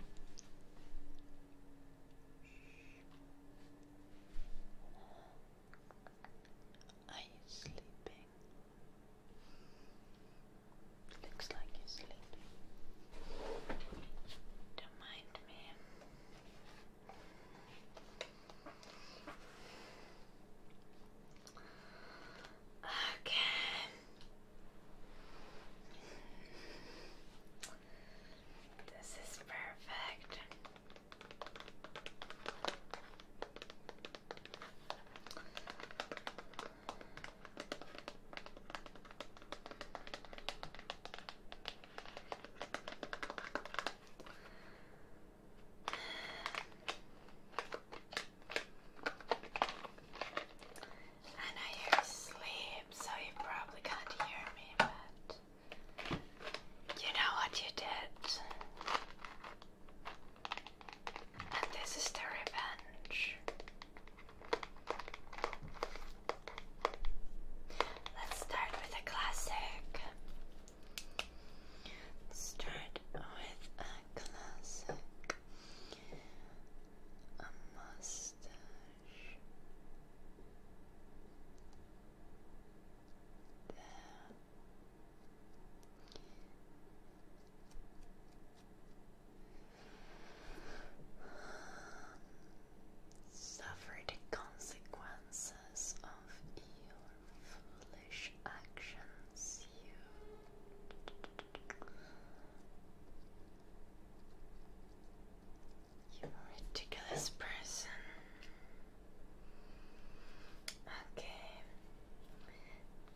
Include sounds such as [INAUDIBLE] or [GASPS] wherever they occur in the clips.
Are you sleeping? Looks like you're sleeping. Don't mind me. Okay. This is perfect. I know you're asleep, so you probably can't hear me, but you know what you did. And this is the revenge. Let's start with a classic. start with a classic. A mustache. Suffer the consequences of your foolish actions. You ridiculous person. Okay.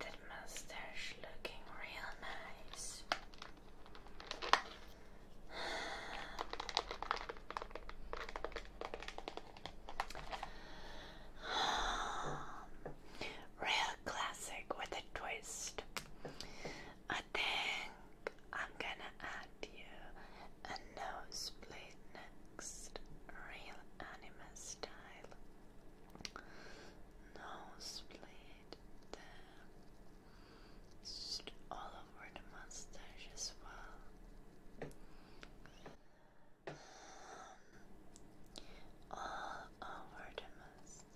That mustache looking real nice. [SIGHS] Real classic with a twist. I think I'm gonna add you a nose split next, real anime style. Nose split there, just all over the mustache as well. Um, all over the and I think,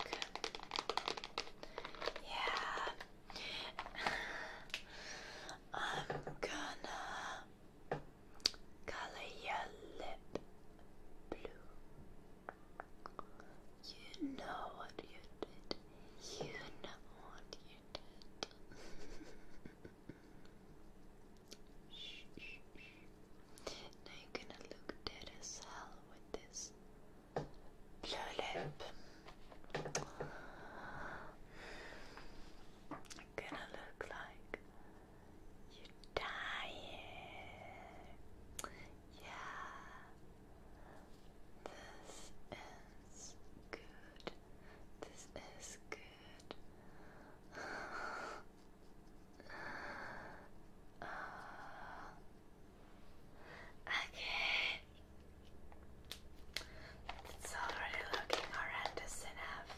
yeah, I'm gonna color your lip blue. You know what you did. You know what you did. [LAUGHS] Now you're gonna look dead as hell with this blue lip. I'm gonna look like you die. Yeah. This is good. This is good. okay. It's already looking horrendous enough.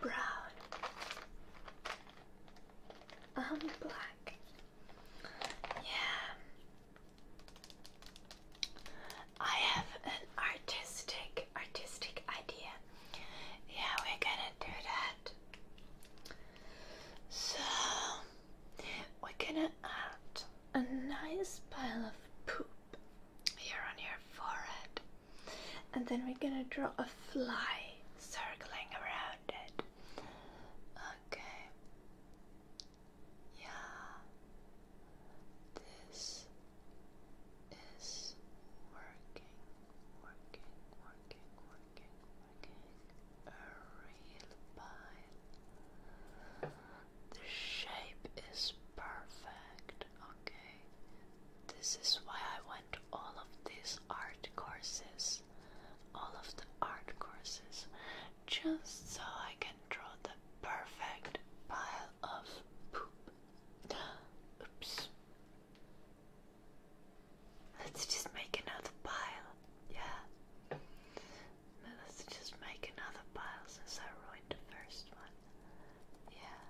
Brown. Um, black. Yeah. I have an artistic, artistic idea. Yeah, we're gonna do that. So, we're gonna add a nice pile of poop here on your forehead, and then we're gonna draw a fly circling around it. Okay, yeah, this is working, working, working, working, a real pile. The shape is perfect, okay? This is why I went all of these art courses, all of the art courses, just so I can draw the perfect pile of poop. [GASPS] Oops. Let's just make another pile. Yeah. Let's just make another pile since I ruined the first one. Yeah.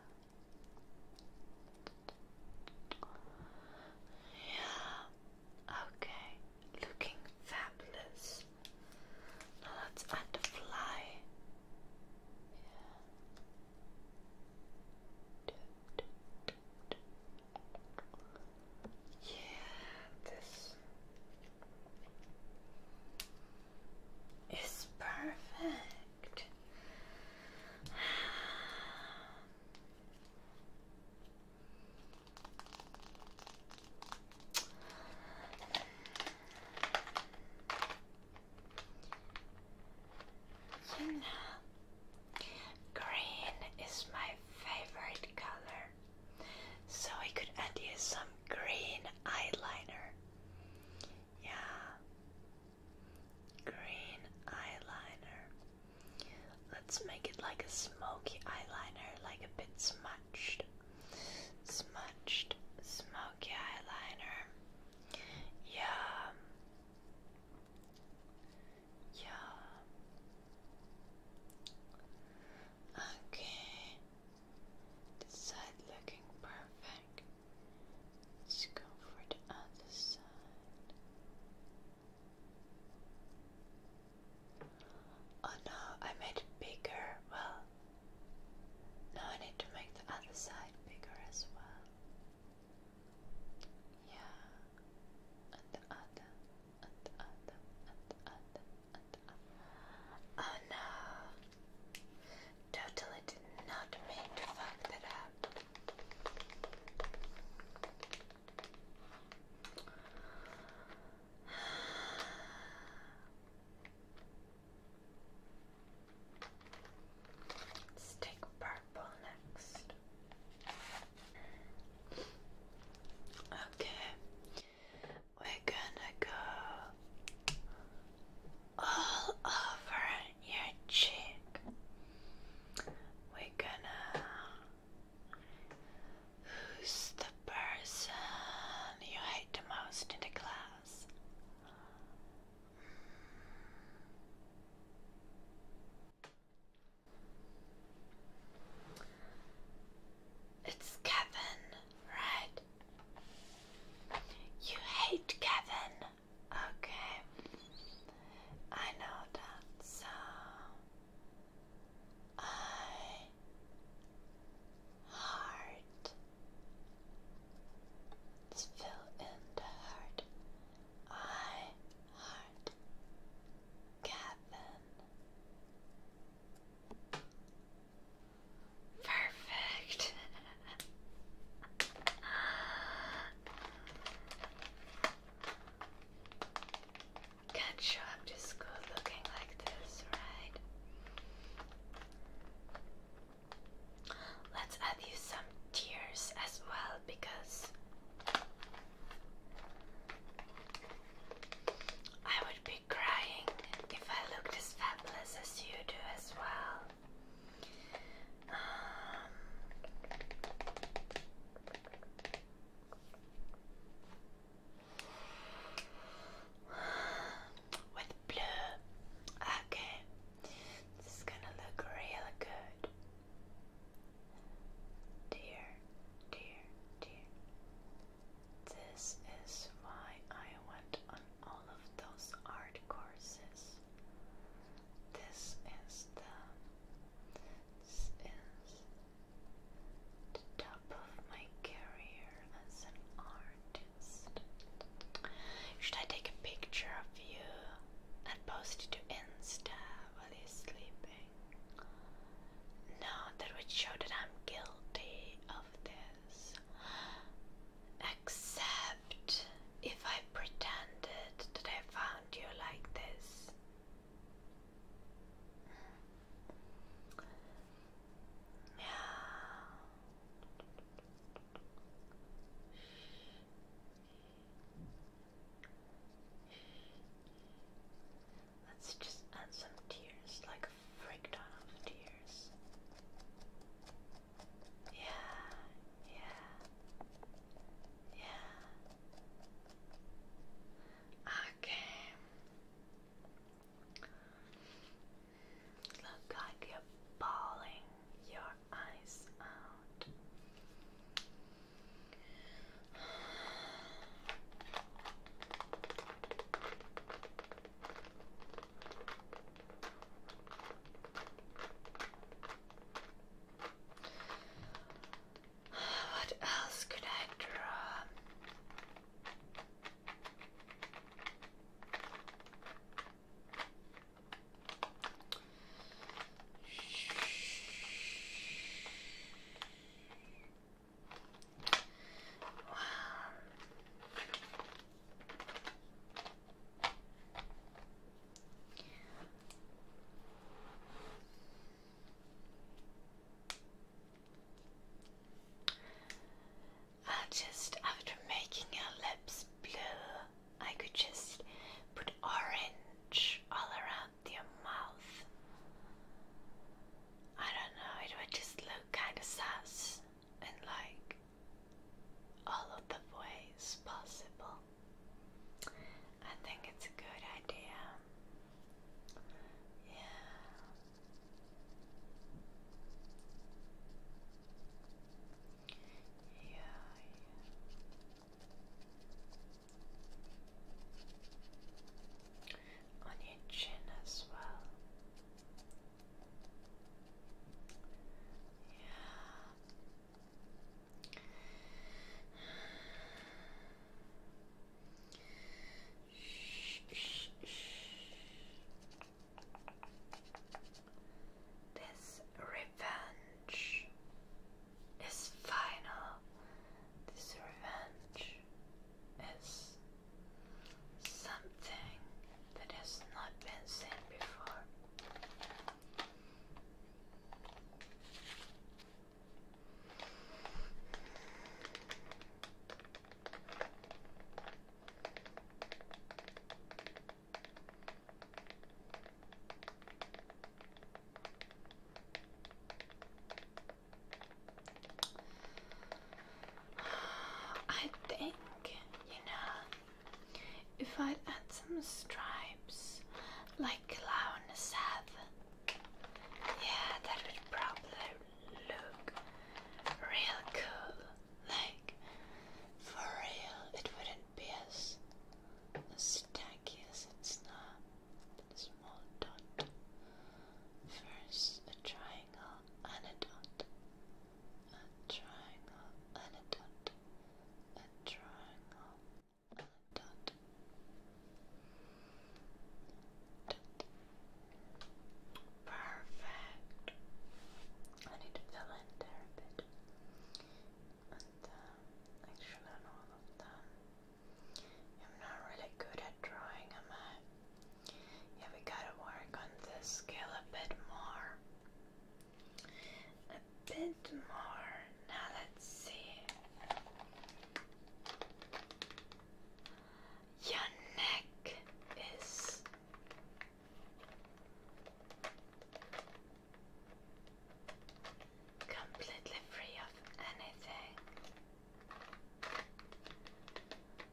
Yeah. Okay. Looking fabulous. Now let's add Yeah. Yeah, this is perfect. You know, green is my favorite color. So I could add you some green eyeliner. Yeah. Green eyeliner. Let's make it like a smoky eyeliner, like a bit smudged. Smudged, smoky eyeliner. Yeah. Yeah. Okay. This side looking perfect. Let's go for the other side. Oh no, I made it bigger. Well, now I need to make the other side bigger as well. Yeah, and the other. Oh no! Totally did not mean to fuck that up. Let's take purple next. Okay, we're gonna go all over your cheek. We're gonna who's the person you hate the most in the class? It's Kevin, right? You hate Kevin. Okay. I know that, so I heart. Let's fill in the heart. I heart Kevin. Perfect. Can't show up to school looking like this, right? Let's add you some tears as well because I would be crying if I looked as fabulous as you do as well. Um, with blue. Okay. This is gonna look real good. Dear, dear, dear. This is why I went on all of those art courses. This is the this is the top of my career as an artist. Should I take a picture of you and post it to Insta while you're sleeping? Now that would show that I'm guilty of this. Except if I pretended that I found you like this. Yeah. Let's just add some tears, like a freak of tears. Yeah, yeah, yeah. Okay. Look like you're bawling your eyes out. What else could I draw? Wow. I just after making her lips blue, I could just put orange all around your mouth. I don't know, it would just look kind of sus in like all of the ways possible. I think it's a good idea. Yeah. Yeah, yeah on your chin as well. Yeah. Shh, shh, shh. This revenge is final. This revenge is something that has not been seen before. I think, you know, if I add some stripes like Clown Seth, yeah, that would probably look real cool. Like, for real, it wouldn't be as, as tacky as it's not small dot. First, a triangle and a dot. A triangle and a dot. A triangle dot. Dot. Perfect. I need to fill in there a bit. And uh, um, actually, all of them. I'm not really good at drawing, am I? Yeah, we gotta work on this scale a bit more. A bit more. Now let's see. Your neck is completely free of anything.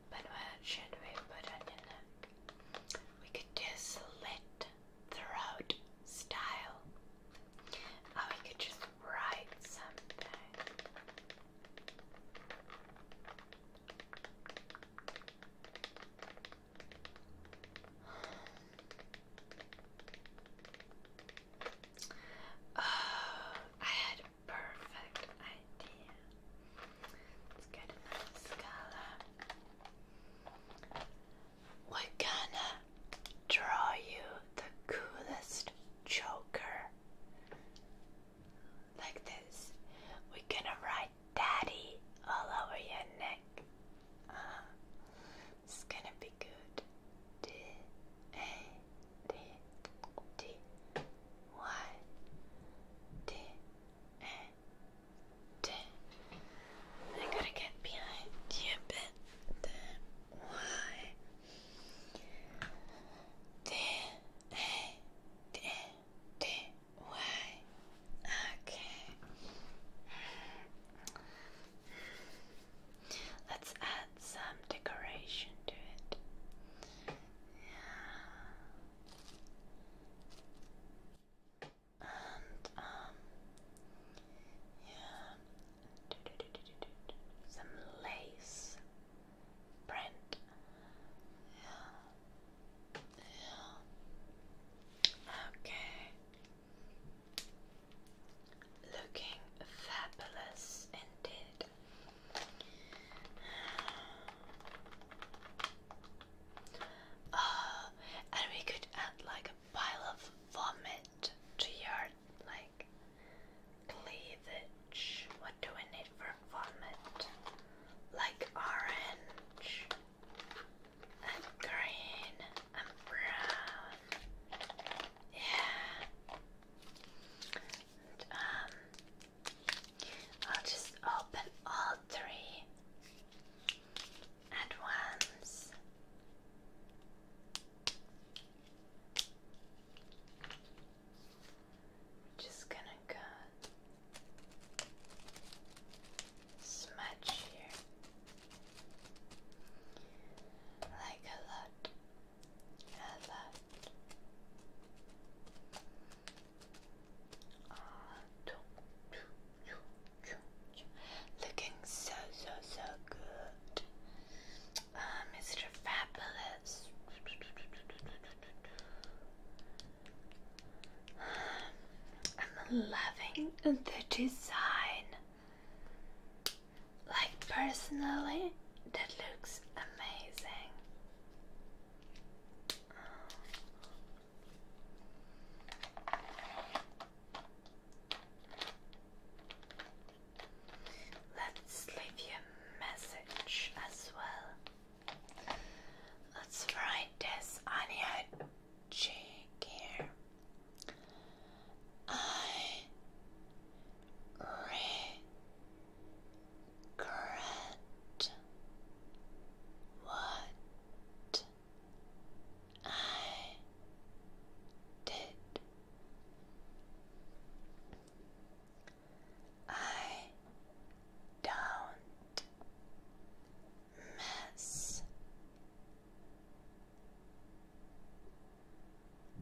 But what should we put on in it? We could slit throat style. Or we could just write something. [SIGHS] Oh, I had perfect idea. Let's get a We're gonna draw you the coolest joker. Like this. We're gonna write daddy all over your neck. Uh-huh. it's gonna be good. D D Y D A D. I gotta get behind you a bit. Then Okay. Let's add some decoration to it. Yeah. And um yeah some lace print. Yeah. Yeah. Okay. Looking fabulous indeed. Oh, [SIGHS] and we could add like a pile of vomit to your like cleavage. What do we need for vomit? Like orange and green and brown. Yeah. Um, I'll just open all three at once. just gonna go smudge here like a lot. Looking so, so, so good. Mr. Fabulous. I'm loving the design. Like, personally, that looks amazing. Let's leave you a message as well. Let's write this on your cheek here. I correct what I did. I don't mess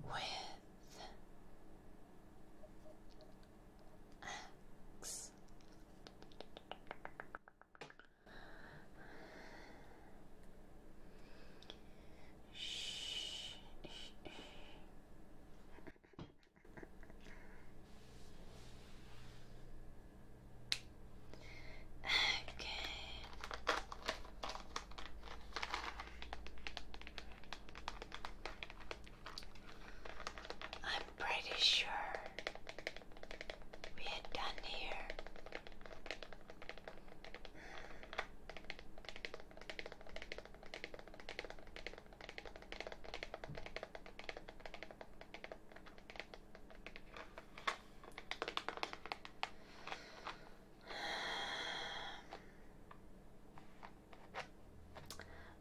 with X. Shh. [LAUGHS] Okay. I'm pretty sure we are done here.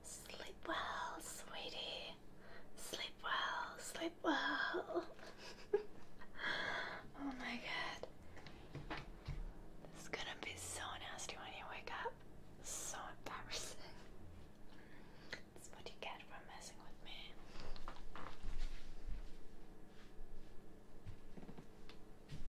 Sleep well, sweetie. Sleep well, sleep well. [LAUGHS] oh my god. This is gonna be so nasty when you wake up. So embarrassing. That's what you get for messing with me.